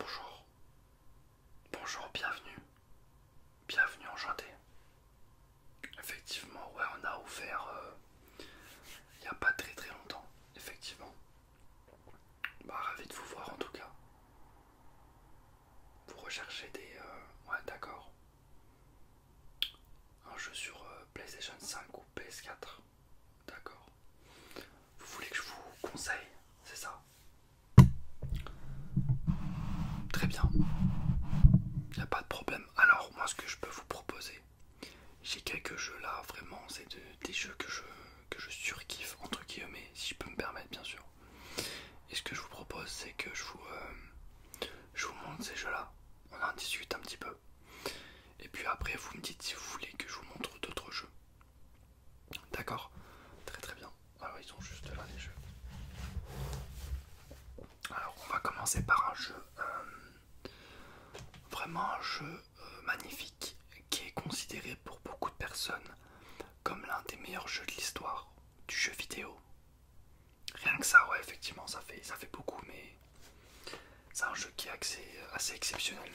Bonjour. Bonjour, bienvenue. Bienvenue, enchanté. Effectivement, ouais, on a ouvert euh, il n'y a pas très très longtemps, effectivement. Bah, ravi de vous voir en tout cas. Vous recherchez des... Euh, ouais, d'accord. Un jeu sur euh, PlayStation 5 ou PS4. D'accord. Vous voulez que je vous conseille, c'est ça Très bien. Il n'y a pas de problème. Alors, moi, ce que je peux vous proposer, j'ai quelques jeux là, vraiment, c'est des jeux que je, que je surkiffe, entre guillemets, si je peux me permettre, bien sûr. Et ce que je vous propose, c'est que je vous, euh, je vous montre ces jeux-là on en discute un petit peu. Et puis après, vous me dites si vous voulez que je vous montre d'autres jeux. D'accord Très très bien. Alors, ils sont juste là les jeux. Alors, on va commencer par un jeu, euh, vraiment un jeu euh, magnifique qui est considéré pour beaucoup de personnes comme l'un des meilleurs jeux de l'histoire du jeu vidéo. Rien que ça, ouais, effectivement, ça fait, ça fait beaucoup, mais c'est un jeu qui est assez, exceptionnel.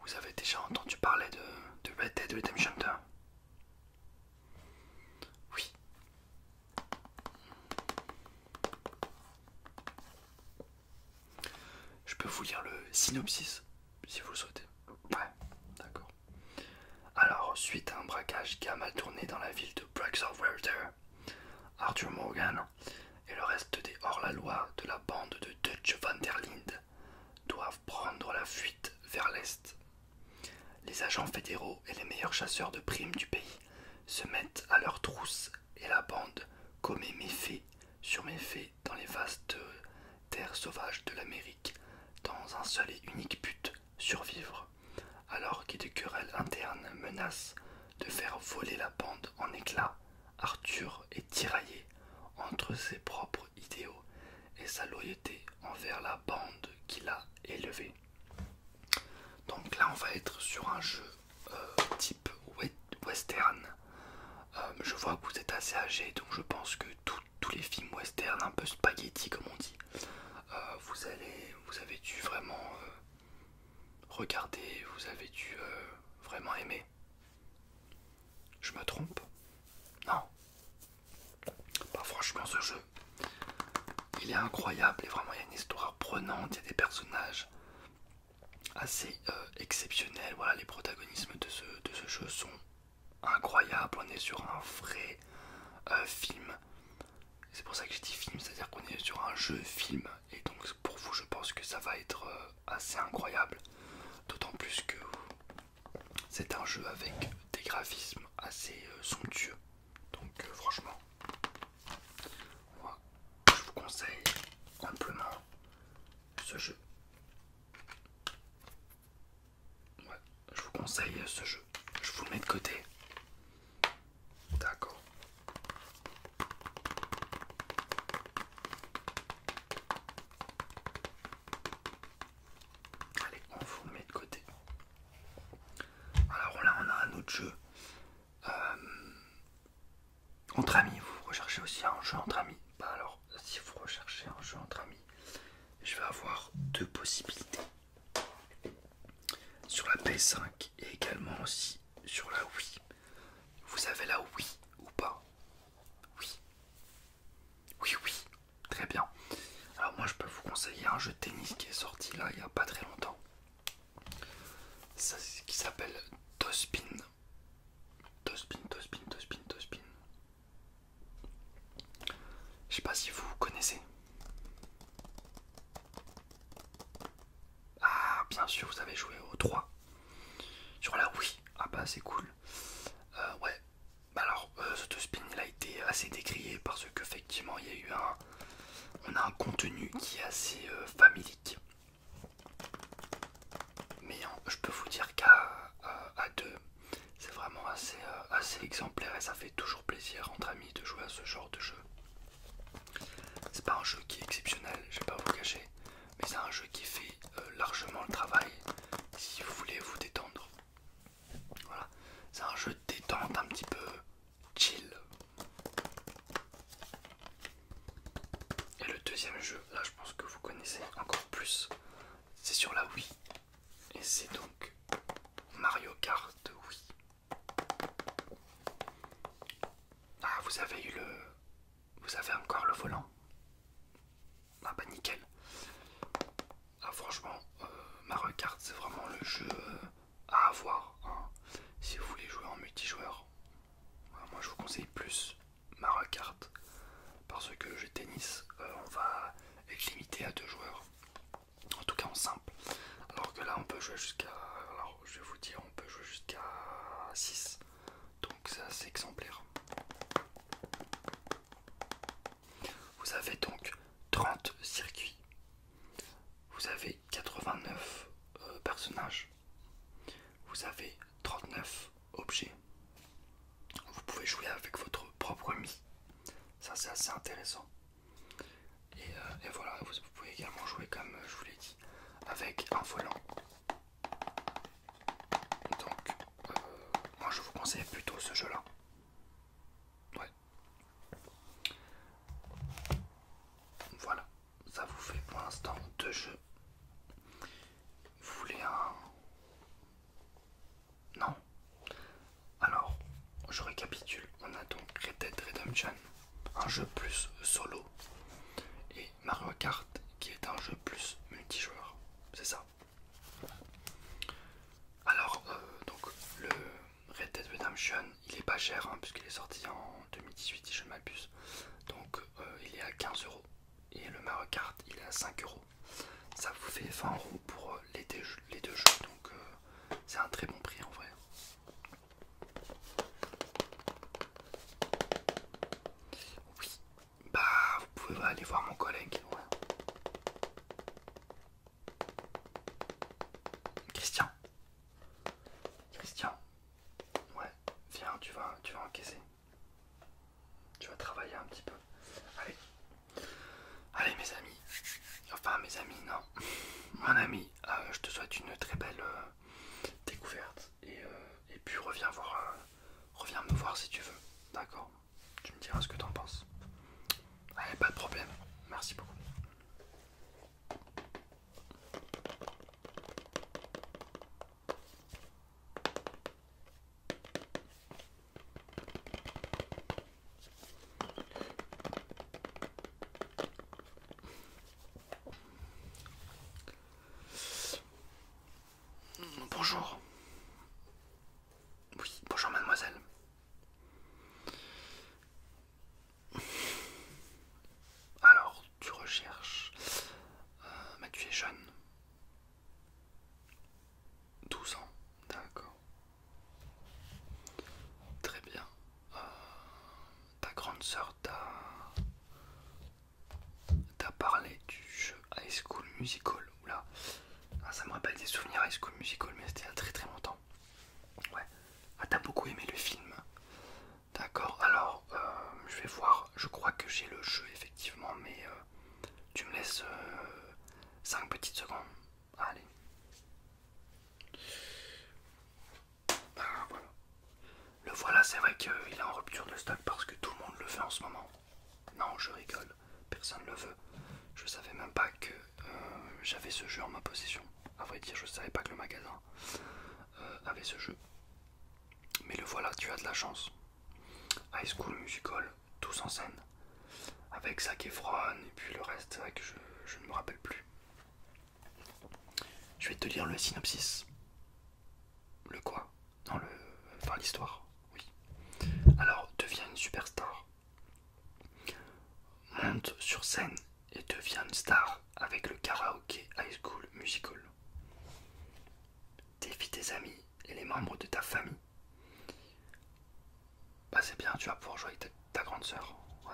Vous avez déjà entendu parler de, de Red Dead 2 Oui. Je peux vous lire le synopsis si vous le souhaitez. Ouais, d'accord. Alors, suite à un braquage qui a mal tourné dans la ville de Walter, Arthur Morgan et le reste des hors-la-loi de la bande de Dutch van der doivent prendre la fuite vers l'est. Les agents fédéraux et les meilleurs chasseurs de primes du pays se mettent à leurs trousses et la bande commet méfait sur méfait dans les vastes terre sauvage de l'Amérique, dans un seul et unique but, survivre, alors que des querelles internes menacent de faire voler la bande en éclats. Arthur est tiraillé entre ses propres idéaux et sa loyauté envers la bande qu'il a élevée. Donc là, on va être sur un jeu euh, type western. Euh, je vois que vous êtes assez âgé, donc je pense que tout tous les films western un peu spaghetti comme on dit. Euh, vous, allez, vous avez dû vraiment euh, regarder, vous avez dû euh, vraiment aimer. Je me trompe Non. Pas franchement, ce jeu, il est incroyable et vraiment il y a une histoire prenante, il y a des personnages assez exceptionnels. Voilà, les protagonismes de ce, de ce jeu sont incroyable, on est sur un vrai euh, film. C'est pour ça que j'ai dit film, c'est-à-dire qu'on est sur un jeu film. Et donc pour vous, je pense que ça va être euh, assez incroyable. D'autant plus que c'est un jeu avec des graphismes assez euh, somptueux. Donc franchement, je vous conseille simplement ce jeu je vous conseille ce jeu. Je vous le mets de côté. D'accord. Allez, on vous le met de côté. Alors là, on a un autre jeu. Euh, entre amis, vous recherchez aussi un jeu entre amis. Bah alors, si vous recherchez un jeu entre amis, je vais avoir deux possibilités sur la p 5 et également aussi sur la Wii. Vous avez la Wii ou pas Oui. Oui, oui. Très bien. Alors moi je peux vous conseiller un jeu de tennis qui est sorti là il n'y a pas très longtemps. Ça, qui s'appelle Tospin. Tospin, Tospin, Tospin, Tospin. Je sais pas si vous connaissez. Ah, bien sûr, vous avez joué au 3 sur la oui. Ah, bah, c'est cool. Euh, ouais, bah alors, ce euh, ce spin il a été assez décrié parce qu'effectivement, il y a eu un. On a un contenu qui est assez euh, familique. Mais je peux vous dire qu'à deux, c'est vraiment euh, assez, exemplaire et ça fait toujours plaisir entre amis de jouer à ce genre de jeu. C'est pas un jeu qui est exceptionnel, je vais pas vous cacher, mais c'est un jeu qui fait euh, largement le travail si vous voulez vous détendre. Voilà, c'est un jeu détente un petit peu chill. Et le deuxième jeu, là je pense que vous connaissez encore plus, c'est sur la Wii. Et c'est donc Mario Kart, oui. Ah, vous avez eu le. Vous avez encore le volant Ah, bah nickel. Ah, franchement, euh, Mario Kart, c'est vraiment le jeu euh, à avoir. Hein, si vous voulez jouer en multijoueur, moi je vous conseille plus Mario Kart. Parce que je tennis, euh, on va être limité à deux joueurs en tout cas en simple. Alors que là on peut jouer jusqu'à. je vais vous dire, on peut jouer jusqu'à 6. Donc c'est assez exemplaire. Vous avez donc 30 circuits. Vous avez 89 euh, personnages. Vous avez 39 objets. Vous pouvez jouer avec votre propre ami. Ça c'est assez intéressant. Et, euh, voilà, vous, pouvez également jouer comme euh, je vous l'ai dit avec un volant. Donc euh, moi je vous conseille plutôt ce jeu là. Voilà, ça vous fait pour l'instant deux jeux. Vous voulez un, non. Alors, je récapitule. On a donc Red Dead Redemption, un jeu plus solo, et Mario Kart, qui est un jeu plus multijoueur. C'est ça. Alors, euh, donc le Red Dead Redemption, il est pas cher, hein, puisqu'il est sorti en 2018, si je m'abuse. Donc, euh, il est à 15 euros. Et le Mario Kart, il est à 5 euros. Ça vous fait 20 euros pour euh, les deux jeux donc euh, c'est un très bon prix en vrai. Oui, bah vous pouvez aller voir mon collègue. Christian, Christian, ouais, viens, tu vas, tu vas encaisser. Tu vas travailler un petit peu. Allez, Allez mes amis, enfin mes amis non, mon ami, euh, je te souhaite une très belle euh, découverte euh, et, puis reviens voir, reviens me voir si tu veux, d'accord Tu me diras ce que t'en penses. Allez, pas de problème, merci beaucoup. Bonjour. Oui, bonjour mademoiselle. Alors, tu recherches... Euh, mais tu es jeune. 12 ans, d'accord. Très bien. Euh, ta grande sœur t'a parlé du jeu High School Musical. Oula, ah, ça me rappelle des souvenirs High School Musical, mais c'était il y a très très longtemps. Ouais. Ah, t'as beaucoup aimé le film. D'accord, alors euh, je vais voir. Je crois que j'ai le jeu effectivement, mais euh, tu me laisses 5 petites secondes. Allez. Bah, le voilà, c'est vrai qu'il est en rupture de stock parce que tout le monde le veut en ce moment. Non, je rigole, personne ne le veut. Je savais même pas que euh, j'avais ce jeu en ma possession. À vrai dire, je savais pas que le magasin euh, avait ce jeu. Mais le voilà, tu as de la chance. High School Musical, tous en scène avec Zac Efron et puis le reste, que je, ne me rappelle plus. Je vais te lire le synopsis. Le quoi dans le... Enfin, l'histoire, oui. Alors, deviens une superstar. Monte sur scène et deviens une star avec le Karaoke High School Musical. Défie tes amis et les membres de ta famille. Bah c'est bien, tu vas pouvoir jouer avec ta, grande sœur. Ouais.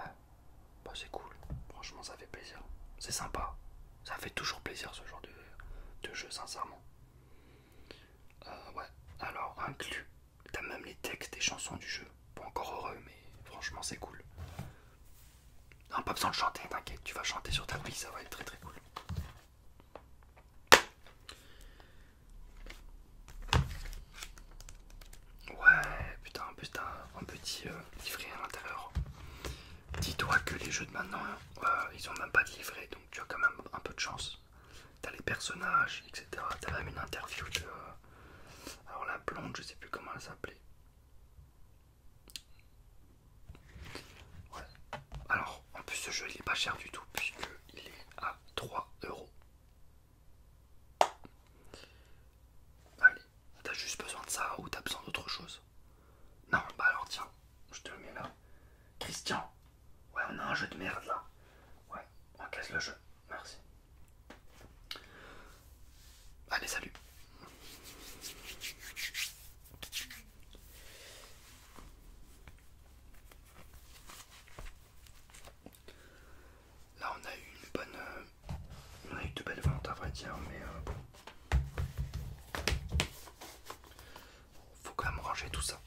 Bah c'est cool. Franchement, ça fait plaisir. C'est sympa. Ça fait toujours plaisir ce genre de, jeu, sincèrement. Euh, ouais. Alors, inclus. T'as même les textes et chansons du jeu. Pas encore heureux, mais franchement, c'est cool. Non, pas besoin de chanter, t'inquiète. Tu vas chanter sur ta vie, ça va être très très cool. Ouais, putain, en plus t'as un petit euh, livret à l'intérieur. Dis-toi que les jeux de maintenant, euh, ils ont même pas de livret, donc tu as quand même un peu de chance. T'as les personnages, etc. T'as même une interview de... Euh, alors la blonde, je sais plus comment elle s'appelait. Ouais. Alors, en plus ce jeu il est pas cher du tout puisqu'il est à 3€. euros. Allez, t'as juste besoin de ça ou t'as besoin d'autre chose Non, bah alors tiens, je te le mets là. Christian, ouais, on a un jeu de merde là. Ouais, on casse le jeu. Merci. Allez, salut. Là on a eu une bonne... Euh, on a eu de belles ventes à vrai dire, mais euh, bon. Faut quand même ranger tout ça.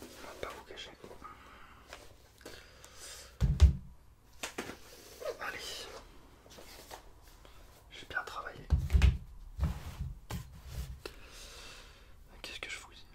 On pas vous cacher. Allez, j'ai bien travaillé. Qu'est-ce que je vous dis